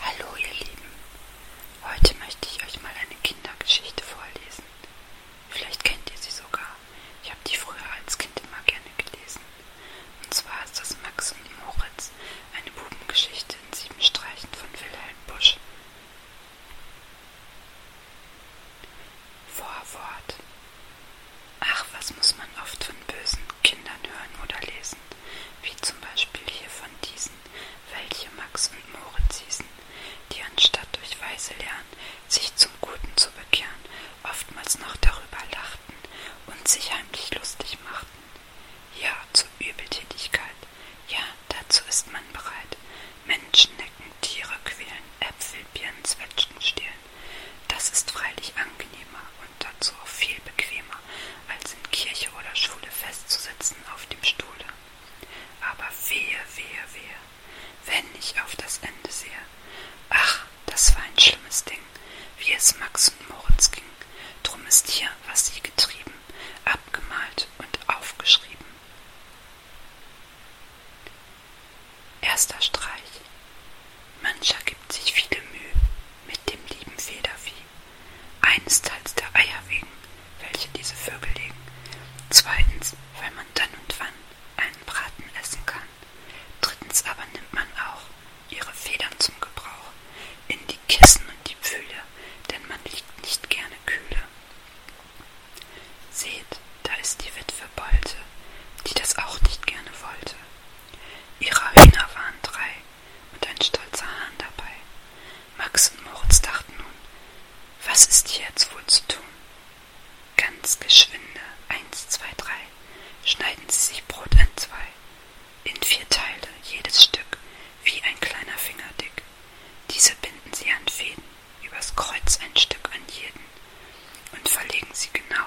Hallo ihr Lieben, heute möchte ich euch mal eine Kindergeschichte vorlesen. Vielleicht kennt ihr sie sogar. Ich habe die früher als Kind immer gerne gelesen. Und zwar ist das Max und Moritz, eine Bubengeschichte in sieben Streichen von Wilhelm Busch. Vorwort. Ach, was muss man oft von bösen Kindern hören oder lesen wie zum Beispiel hier von diesen, welche Max und Moritz hießen, die anstatt durch Weise lernen, sich zum Guten zu bekehren, oftmals noch darüber lachten und sich heimlich lustig machten. Ja, zur Übeltätigkeit. Ja, dazu ist man bereit. Menschen necken, Tiere quälen, Äpfel, Birnen, Zwetschgen stehlen. Das ist freilich angenehmer und dazu auch viel bequemer, als in Kirche oder Schule festzusitzen auf dem Stuhle. Aber wehe, wehe, wehe, wenn ich auf das Ende sehe. Ach, das war ein schlimmes Ding, wie es Max und Moritz ging. Drum ist hier, was sie getrieben, abgemalt und aufgeschrieben. Erster Streich. Mancher gibt sich viele Mühe, mit dem lieben Federvieh, einesteils der Eier wegen, welche diese Vögel legen, zweitens, weil man dann und wann einen Braten essen kann, drittens aber nimmt man auch ihre Federn zum Gebrauch in die Kissen und die Pfühle, denn man liegt nicht gerne kühle. Seht, da ist die Witwe Bolte, die das auch nicht gerne wollte. Ihrer Hühner waren drei und ein stolzer Hahn dabei. Max und Moritz dachten nun, was ist hier jetzt wohl zu tun? Ganz geschwinde, eins, zwei, drei, schneiden sie sich Brot entzwei, in vier Teile, jedes Stück, wie ein kleiner Finger dick. Diese binden sie an Fäden, übers Kreuz ein Stück an jeden, und verlegen sie genau,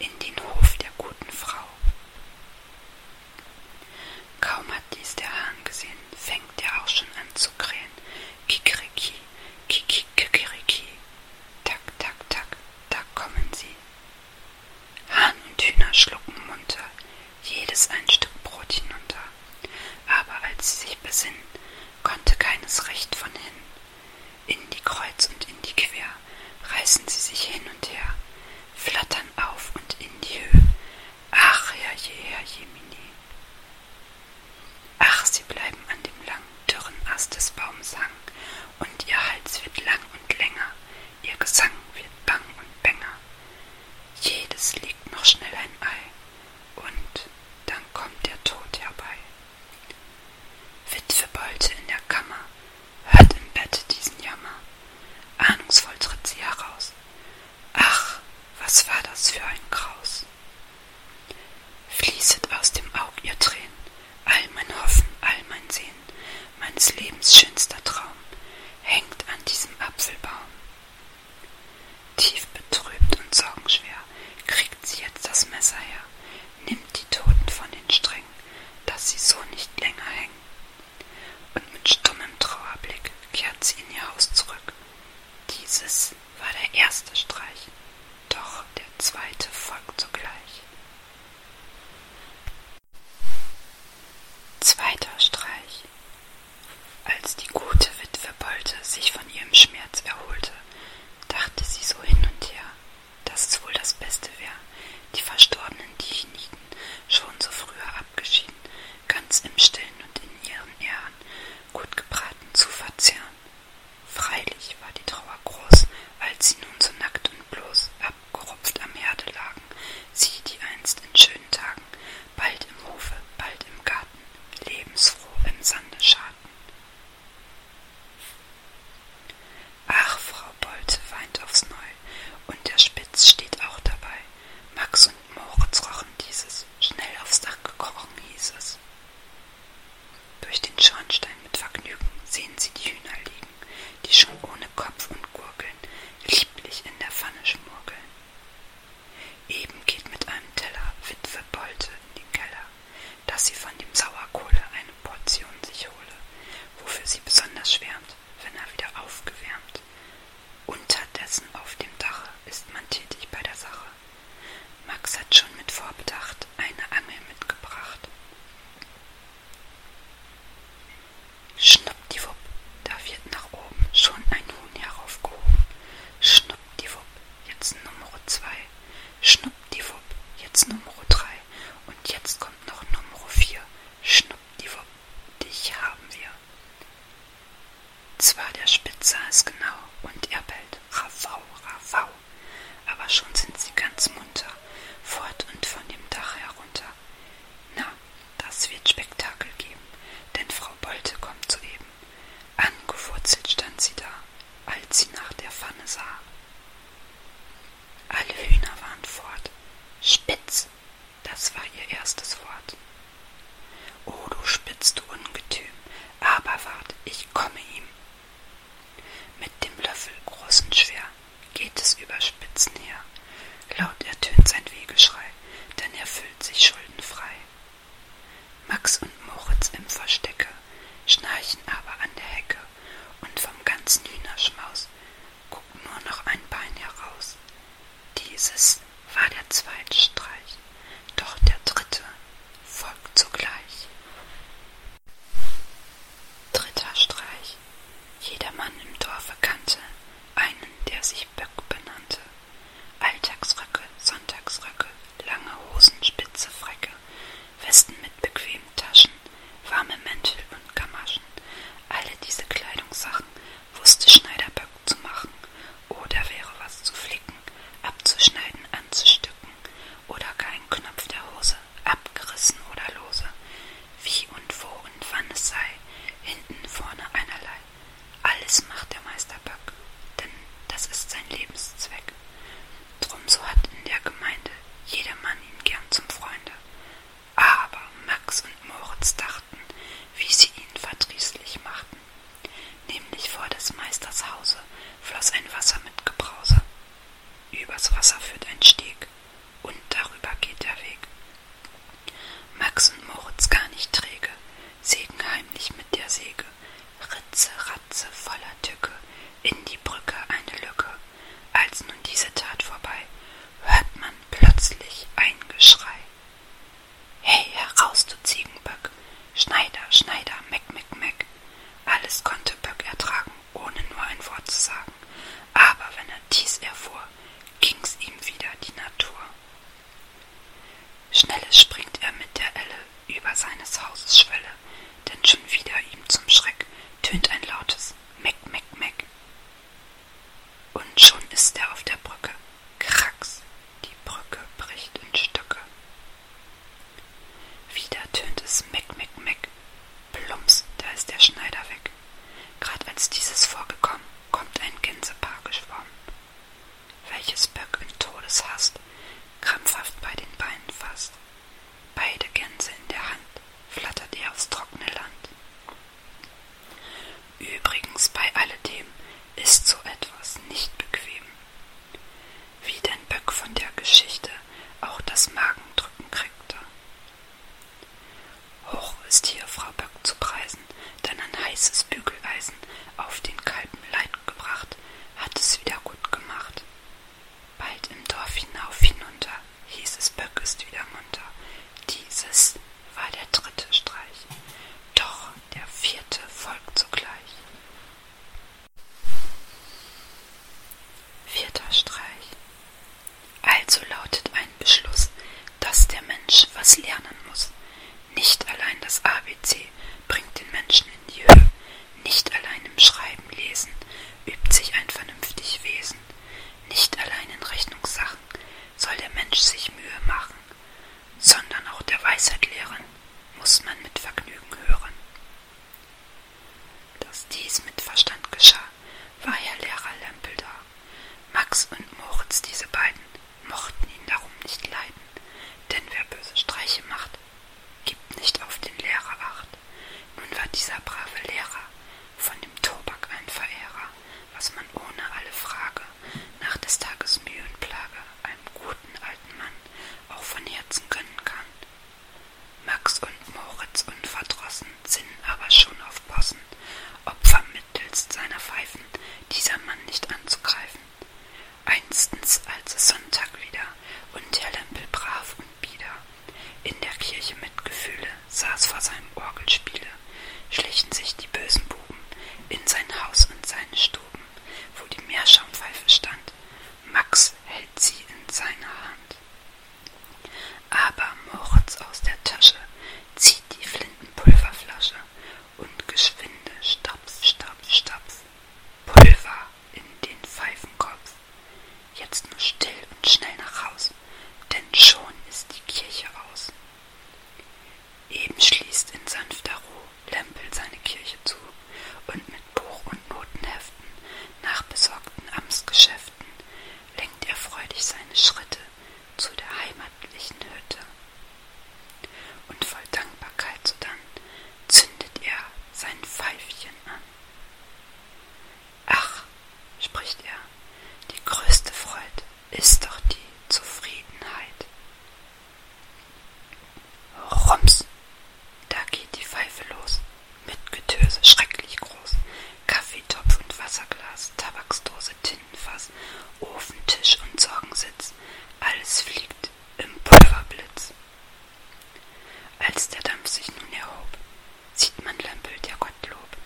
in den Hof der guten Frau. Kaum hat dies der Hahn gesehen, fängt er auch schon an zu krähen. Kikeriki, kikikikeriki. Tak, tak, tak, da kommen sie. Hahn und Hühner schlucken munter, jedes ein Stück Brot hinunter. Aber als sie sich besinnen, konnte keines recht von hinnen in die Kreuz und in die Quer, reißen sie sich hin und her, flattern auf und in die Höhe. Ach, herrje, herrjemini. Ach, sie bleiben an dem langen, dürren Ast des Baums hangen, und ihr Hals wird lang und länger, ihr Gesang wird bang und bänger. Jedes legt noch schnell ein Ei, und dann kommt der Tod herbei. Witwe Bolte in der Kammer hört im Bette diesen Jammer. Ahnungsvoll tritt sie heraus. Ach, was war das für ein Graus! Fließet aus dem Aug ihr Tränen, all mein Hoffen, all mein Sehnen, meines Lebens schönster Traum hängt an diesem Apfelbaum. Tief betrübt und sorgenschwer streckt sie jetzt das Messer her, nimmt die Toten von den Strängen, dass sie so nicht länger hängen. Und mit stummem Trauerblick kehrt sie in ihr Haus zurück. Dieses war der erste Streich, doch der zweite folgt sogleich. Zweiter Streich. Als die gute Witwe Bolte sich von ihrem Schmerz erholte, dachte sie so hin und her, dass es wohl das Beste wäre, die verstorbenen Diechniten schon so früher abgeschieden, ganz im Stillen und in ihren Ehren, gut gebraten zu verzehren. Freilich war die Trauer groß, als sie nun so nackt und bloß abgerupft am Herde lagen, sie, die einst in schönen Tagen, bald im Hofe, bald im Garten, lebensfroh im Sande scharten. Ach, Frau Bolte weint aufs Neue, und der Spitz steht auch dabei. Max und Moritz rochen dieses. Schnell aufs Dach gekrochen, hieß es. Durch den Schornstein mit Vergnügen sehen sie die Hühner liegen, die schon ohne Kopf und Gurgeln lieblich in der Pfanne schmurgeln. Eben geht mit einem Teller Witwe Bolte in den Keller dass sie von dem Sauerkohle eine Portion sich hole, wofür sie besonders schwärmt, wenn er wieder aufgewärmt. Unterdessen auf dem Dache ist man tätig bei der Sache. Max hat schon mit Vorbedacht eine Angel mitgebracht. Schnuppdiwupp, da wird nach oben schon ein Huhn heraufgehoben. Schnuppdiwupp, jetzt Nummer zwei. Schnuppdiwupp, jetzt Nummer drei und jetzt kommt noch Nummer vier. Schnuppdiwupp, dich haben wir. Zwar der Spitz sah es genau und er bellt Ravau, Ravau, aber schon sind sie ganz munter, fort und von dem Dach herunter. Na, das wird Spektakel geben, denn Frau Bolte kommt soeben. Angewurzelt stand sie da, als sie nach der Pfanne sah. Alle Hühner waren fort. Spitz, das war ihr erstes Wort. O du Spitz, du Ungetüm, aber wart, ich komme ihm. Mit dem Löffel, groß und schwer, geht es über Spitzen her. Laut ertönt sein Wehgeschrei, denn er fühlt sich schuldenfrei. Max und Moritz im Verstecke, schnarchen aber an der Hecke, und vom ganzen Hühnerschmaus guckt nur noch ein Bein heraus. Dieses war der zweite Streich, doch der dritte folgt sogleich. Dritter Streich. Jedermann im Dorfe kannte einen, der sich Böck benannte. Alltagsröcke, Sonntagsröcke, lange Hosen, spitze Frecke. Westen mit bequemen Taschen, warme Mäntel und Gamaschen. Alle diese Kleidungssachen wusste Schneiderböck zu machen. Oder wäre was zu flicken, abzuschneiden, anzustücken. Oder gar ein Knopf der Hose, abgerissen oder lose. Wie und wo und wann es sei, hinten, vorne einerlei. Alles macht der Meister Böck, denn das ist sein Lebenszweck. Drum so hat in der Gemeinde jedermann ihn gern zum Freunde. Aber Max und Moritz dachten, wie sie ihn verdrießlich machten. Nämlich vor des Meisters Hause floss ein Wasser mit Gebrause. Übers Wasser führt ein Steg, und darüber geht der Weg. Max und Moritz gar nicht träge, sägen heimlich mit der Säge Ritze, Ratze, voller Tücke, in die Brücke eine Lücke. Als nun diese Tat vorbei, hört man plötzlich ein Geschrei. Hey, heraus, du Ziegenböck! Schneider, Schneider, Meck, Meck, Meck! Alles konnte Böck ertragen, ohne nur ein Wort zu sagen. Aber wenn er dies erfuhr, ging's ihm wieder die Natur. Schnelles springt er mit der Elle über seines Hauses Schwelle, denn schon wieder ihm zum Schreck tönt ein lautes Meck, Meck, Meck. Und schon ist er auf der Brücke. Kracks, die Brücke bricht in Stücke. Wieder tönt es Meck, Meck, Meck. Plumps, da ist der Schneider weg. Grad als dieses vorgekommen, kommt ein Gänsepaar geschwommen welches Böck in Todeshast krampfhaft bei den Beinen fasst. Beide Gänse in der Hand flattert er aufs trockene Land. Übrigens bei alledem ist so etwas nicht bequem. Wie denn Böck von der Geschichte auch das Magendrücken kriegte. Hoch ist hier Frau Böck zu preisen, denn ein heißes Bügeleisen auf den kalten Leib gebracht, hat es wieder gut gemacht. Bald im Dorf hinauf hinunter, hieß es Böck ist wieder munter. Dieses war der dritte Streich, doch der vierte folgt sogleich. Vierter Streich. Also lautet ein Beschluss, dass der Mensch was lernen muss. Nicht allein das ABC bringt den Menschen in die Höhe. Nicht allein im Schreiben, Lesen übt sich ein vernünftig Wesen. Nicht allein in Rechnungssachen soll der Mensch sich Mühe machen, sondern auch der Weisheit lehren muss man mit Vergnügen hören. Dass dies mit Verstand geschah, war Herr Lehrer Lempel da. Max und Moritz, diese beiden, mochten ihn darum nicht leiden, denn wer böse Streiche macht, gibt nicht auf den Lehrer acht. Nun war dieser brave Lehrer von dem Tobak ein Verehrer, was man ohne alle Frage nach des Tages Mühe und Plage einem guten alten Mann auch von Herzen gönnen kann. Max und Moritz unverdrossen sinnen aber schon auf Possen, ob vermittelst seiner Pfeifen dieser Mann nicht anzugreifen. Einstens, als es Sonntag wieder und Herr Lempel brav und bieder in der Kirche mit Gefühle saß vor seinem Orgelspiele, schlichen sich die bösen Buben in sein Haus und seine Stuben, wo die Meerschaumpfeife stand. Max hält sie in seiner Hand. Aber Moritz aus der Tasche zieht die Flintenpulverflasche und geschwinde Stapf, Stapf, Stapf Pulver in den Pfeifenkopf. Jetzt nur still und schnell nach Haus, denn schon ist die Kirche aus. Eben schließt in sanfter Ruhe Lempel seine Kirche zu und mit Buch und Notenheften nach besorgten Amtsgeschäften lenkt er freudig seine Schritte zu der heimatlichen Hütte. Und voll Dankbarkeit sodann zündet er sein Pfeifchen an. Ach, spricht er, die größte Freude ist doch die Zufriedenheit. Rums, da geht die Pfeife los, mit Getöse schrecklich groß, Kaffeetopf und Wasserglas, Tabaksdose Glasvase, Tintenfass, Ofentisch und Sorgensitz. Alles fliegt im Pulverblitz. Als der Dampf sich nun erhob, sieht man Lempel, der Gottlob,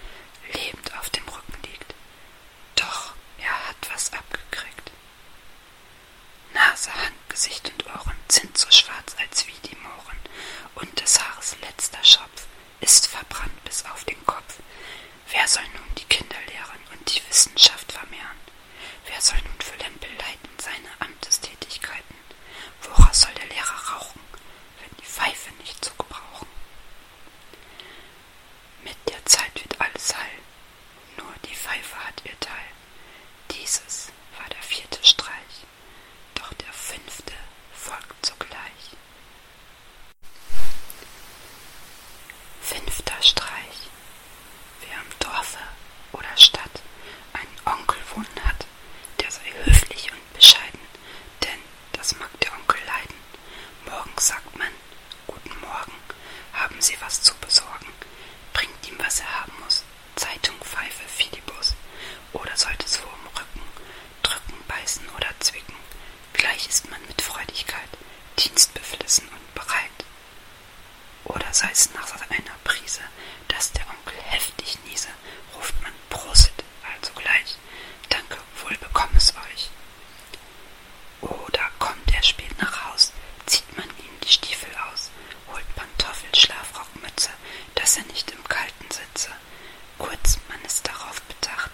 lebend auf dem Rücken liegt. Doch er hat was abgekriegt. Nase, Hand, Gesicht und Ohren sind so schwarz als wie die Mohren, und des Haares letzter Schopf ist verbrannt bis auf den Kopf. Wer soll nun die Kinder lehren und die Wissenschaft vermehren? Wer soll nun für Lempel leiten seine Amtestätigkeiten? Woraus soll der Lehrer rauchen, wenn die Pfeife nicht zu gebrauchen? Mit der Zeit wird alles heil, nur die Pfeife hat ihr Teil. Dieses war der vierte Streich, doch der fünfte folgt sogleich. Fünfter Streich. Wer im Dorfe oder Stadt einen Onkel wohnen hat, der sei höflich und bescheiden, denn das mag der Onkel leiden. Morgens sagt man, guten Morgen, haben Sie was zu besorgen, bringt ihm, was er haben muss, Zeitung, Pfeife, Filibus, oder sollte es vor dem Rücken drücken, beißen oder zwicken, Gleich ist man mit Freudigkeit, dienstbeflissen und bereit. Oder sei es nach einer Prise, dass der Onkel heftig niese, ruft man Prosit, also gleich, danke, wohl bekomm es euch. Oder kommt er spät nach Haus, zieht man ihm die Stiefel aus, holt Pantoffel, Schlafrock, Mütze, dass er nicht im Kalten sitze. Kurz, man ist darauf bedacht,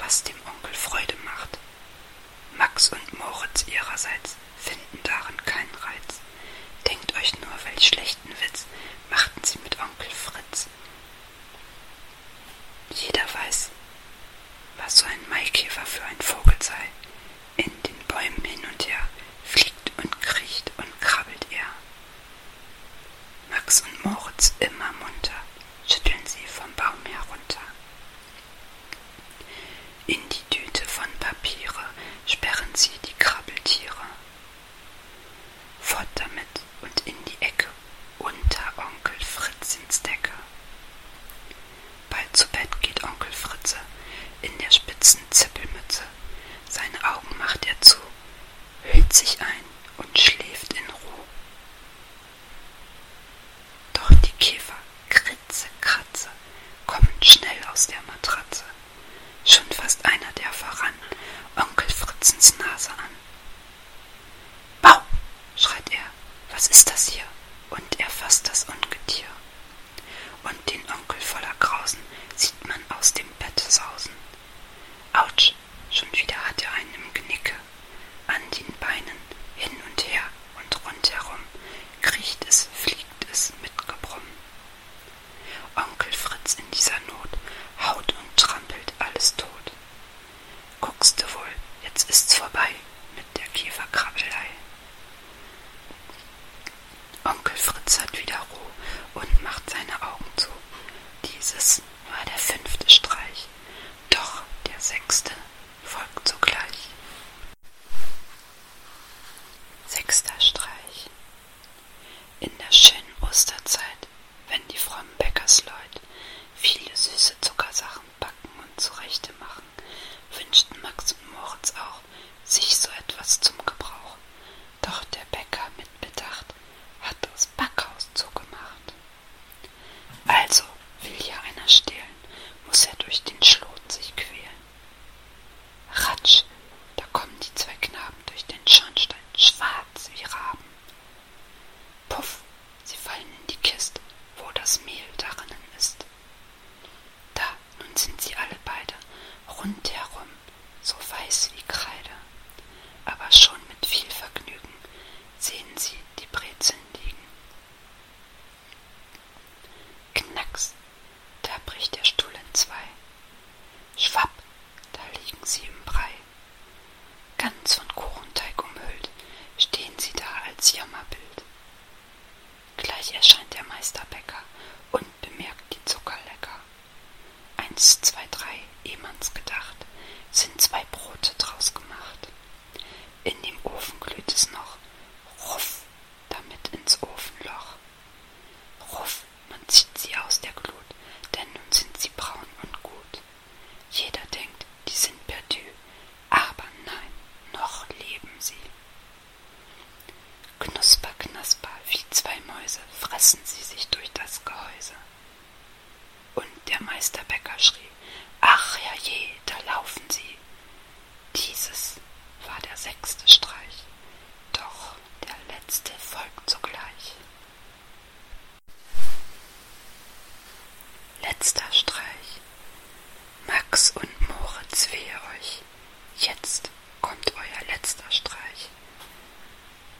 was dem Onkel Freude macht. Max und Moritz ihrerseits finden darin keinen Reiz. Denkt euch nur, welch schlechten Witz machten sie mit Onkel Fritz. Jeder weiß, was so ein Maikäfer für ein Vogel sei. In den Bäumen hin und her fliegt und kriecht und krabbelt er. Max und Moritz immer munter schütteln sie vom Baum herunter. In die Tüte von Papiere sperren sie die Krabbeltiere. Fort damit und in die Ecke, unter Onkel Fritz ins Decke. Bald zu Bett geht Onkel Fritze in der spitzen Zippelmütze. Seine Augen macht er zu, hüllt sich ein und schläft in Ruhe. Doch die Käfer, Kritze, Kratze, kommen schnell aus der Matratze. Schon fast einer der voran, Onkel Fritzens Nase an. Bau, schreit er, was ist das hier? Und er fasst das Ungetier. Und den Onkel voller Grausen sieht man aus dem Bett sausen. Autsch, schon wieder hat er einen im Genicke. An den Beinen, hin und her und rundherum, kriecht es, fliegt es mit Gebrumm. Onkel Fritz in dieser Not haut und trampelt alles tot. Guckste wohl, jetzt ist's vorbei mit der Käferkrabbelei. Onkel Fritz hat wieder Ruhe und macht seine Augen zu. Dieses war der fünfte Streich sich, doch der sechste folgt sogleich. Sechster Streich. In der schönen Osterzeit, wenn die frommen Bäckersleut viele süße Zuckersachen backen und zurechte machen, wünschten Max und Moritz auch sich so etwas zum Gebrauch. Doch der Bäcker mit Bedacht hat das Backhaus zugemacht. Also, will hier einer stehlen, muss er durch den Schlot sich quälen. Ratsch, da kommen die zwei Knaben durch den Schornstein, schwarz wie Raben. Puff, sie fallen in die Kiste, wo das Mehl darinnen ist. Da, nun sind sie alle beide, rundherum, so weiß wie Kreide, aber schon mit viel Vergnügen sehen sie die Brezeln liegen. Knacks, da bricht der Stuhl in zwei. Schwapp, da liegen sie im Brei. Ganz von Kuchenteig umhüllt, stehen sie da als Jammerbild. Gleich erscheint der Meisterbäcker und bemerkt die Zuckerlecker eins, zwei, drei Emanns gedacht, sind zwei Brote draus gemacht. In dem Ofen glüht es noch, ruff damit ins Ofenloch. Ruff, man zieht sie aus der Glut, denn nun sind sie braun und gut. Jeder denkt, die sind perdu, aber nein, noch leben sie. Knusper, knasper, wie zwei Mäuse fressen sie sich durch das Gehäuse. Und der Meisterbäcker schrie, ach herrje, da laufen sie. Dieses war der sechste Streich, doch der letzte folgt sogleich. Letzter Streich. Max und Moritz wehe euch. Jetzt kommt euer letzter Streich.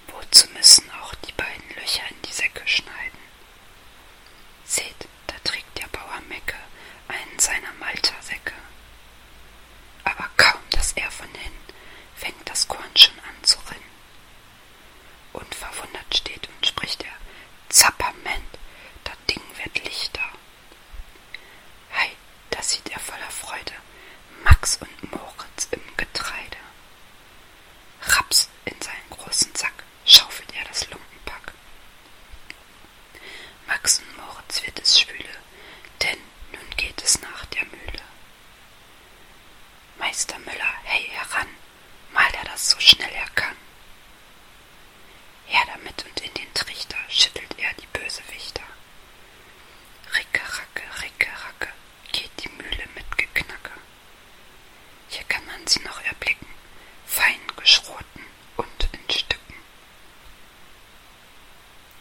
Wozu müssen auch die beiden Löcher in die Säcke schneiden? Seht, da trägt der Bauer Mecke einen seiner Maltersäcke. Aber kaum, dass er von hin, fängt das Korn schon an zu rinnen. Und verwundert steht und spricht er, Zapperment, das Ding wird lichter. Hei, da sieht er voller Freude Max und Moritz im Getreide. Raps in seinen großen Sack schaufelt er das Lumpenpack. Max und Moritz wird es schwüle, denn nun geht es nach der Mühle. Meister Müller, hey heran, mal er das so schnell er kann. Her damit und in den Trichter schüttelt er die Bösewichter. Ricke, racke, ricke, racke, geht die Mühle mit Geknacke. Hier kann man sie noch erblicken, fein geschroten und in Stücken.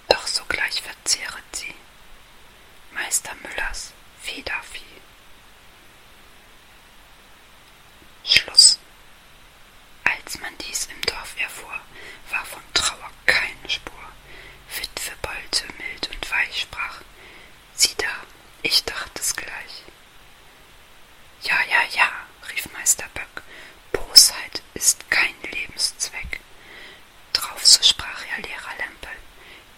Doch sogleich verzehret sie Meister Müllers Federvieh. Schluss. Als man dies im Dorf erfuhr, war von Trauer keine Spur. Witwe Bolze mild und weich sprach. Sieh da, ich dachte es gleich. Ja, ja, ja, rief Meister Böck, Bosheit ist kein Lebenszweck. Drauf so sprach ja Lehrer Lempel,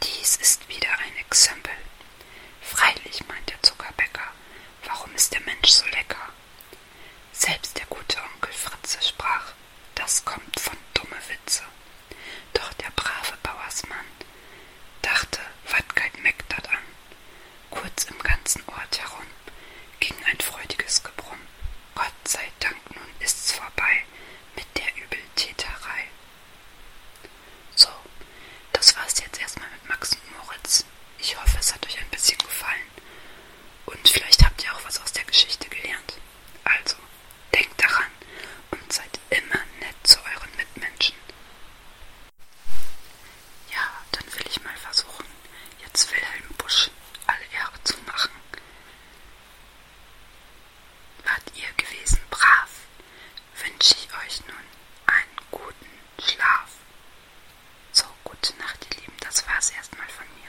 dies ist wieder ein Exempel. Freilich, meint der Zuckerbäcker, warum ist der Mensch so lecker? Selbst der gute Onkel Fritze sprach, das kommt von dumme Witze. Doch der brave Bauersmann dachte, wat geit meck dat an. Kurz im ganzen Ort herum ging ein freudiges Gebrumm. Gott sei Dank, nun ist's vorbei mit der Übeltäterei. So, das war's jetzt erstmal mit Max und Moritz. Ich hoffe, es hat euch ein bisschen gefallen. Und vielleicht habt ihr auch was aus der Geschichte gelernt. Also, Denkt daran und seid immer nett zu euren Mitmenschen. Ja, dann will ich mal versuchen, jetzt Wilhelm Busch alle Ehre zu machen. Wart ihr gewesen brav, wünsche ich euch nun einen guten Schlaf. So, gute Nacht, ihr Lieben, das war's erstmal von mir.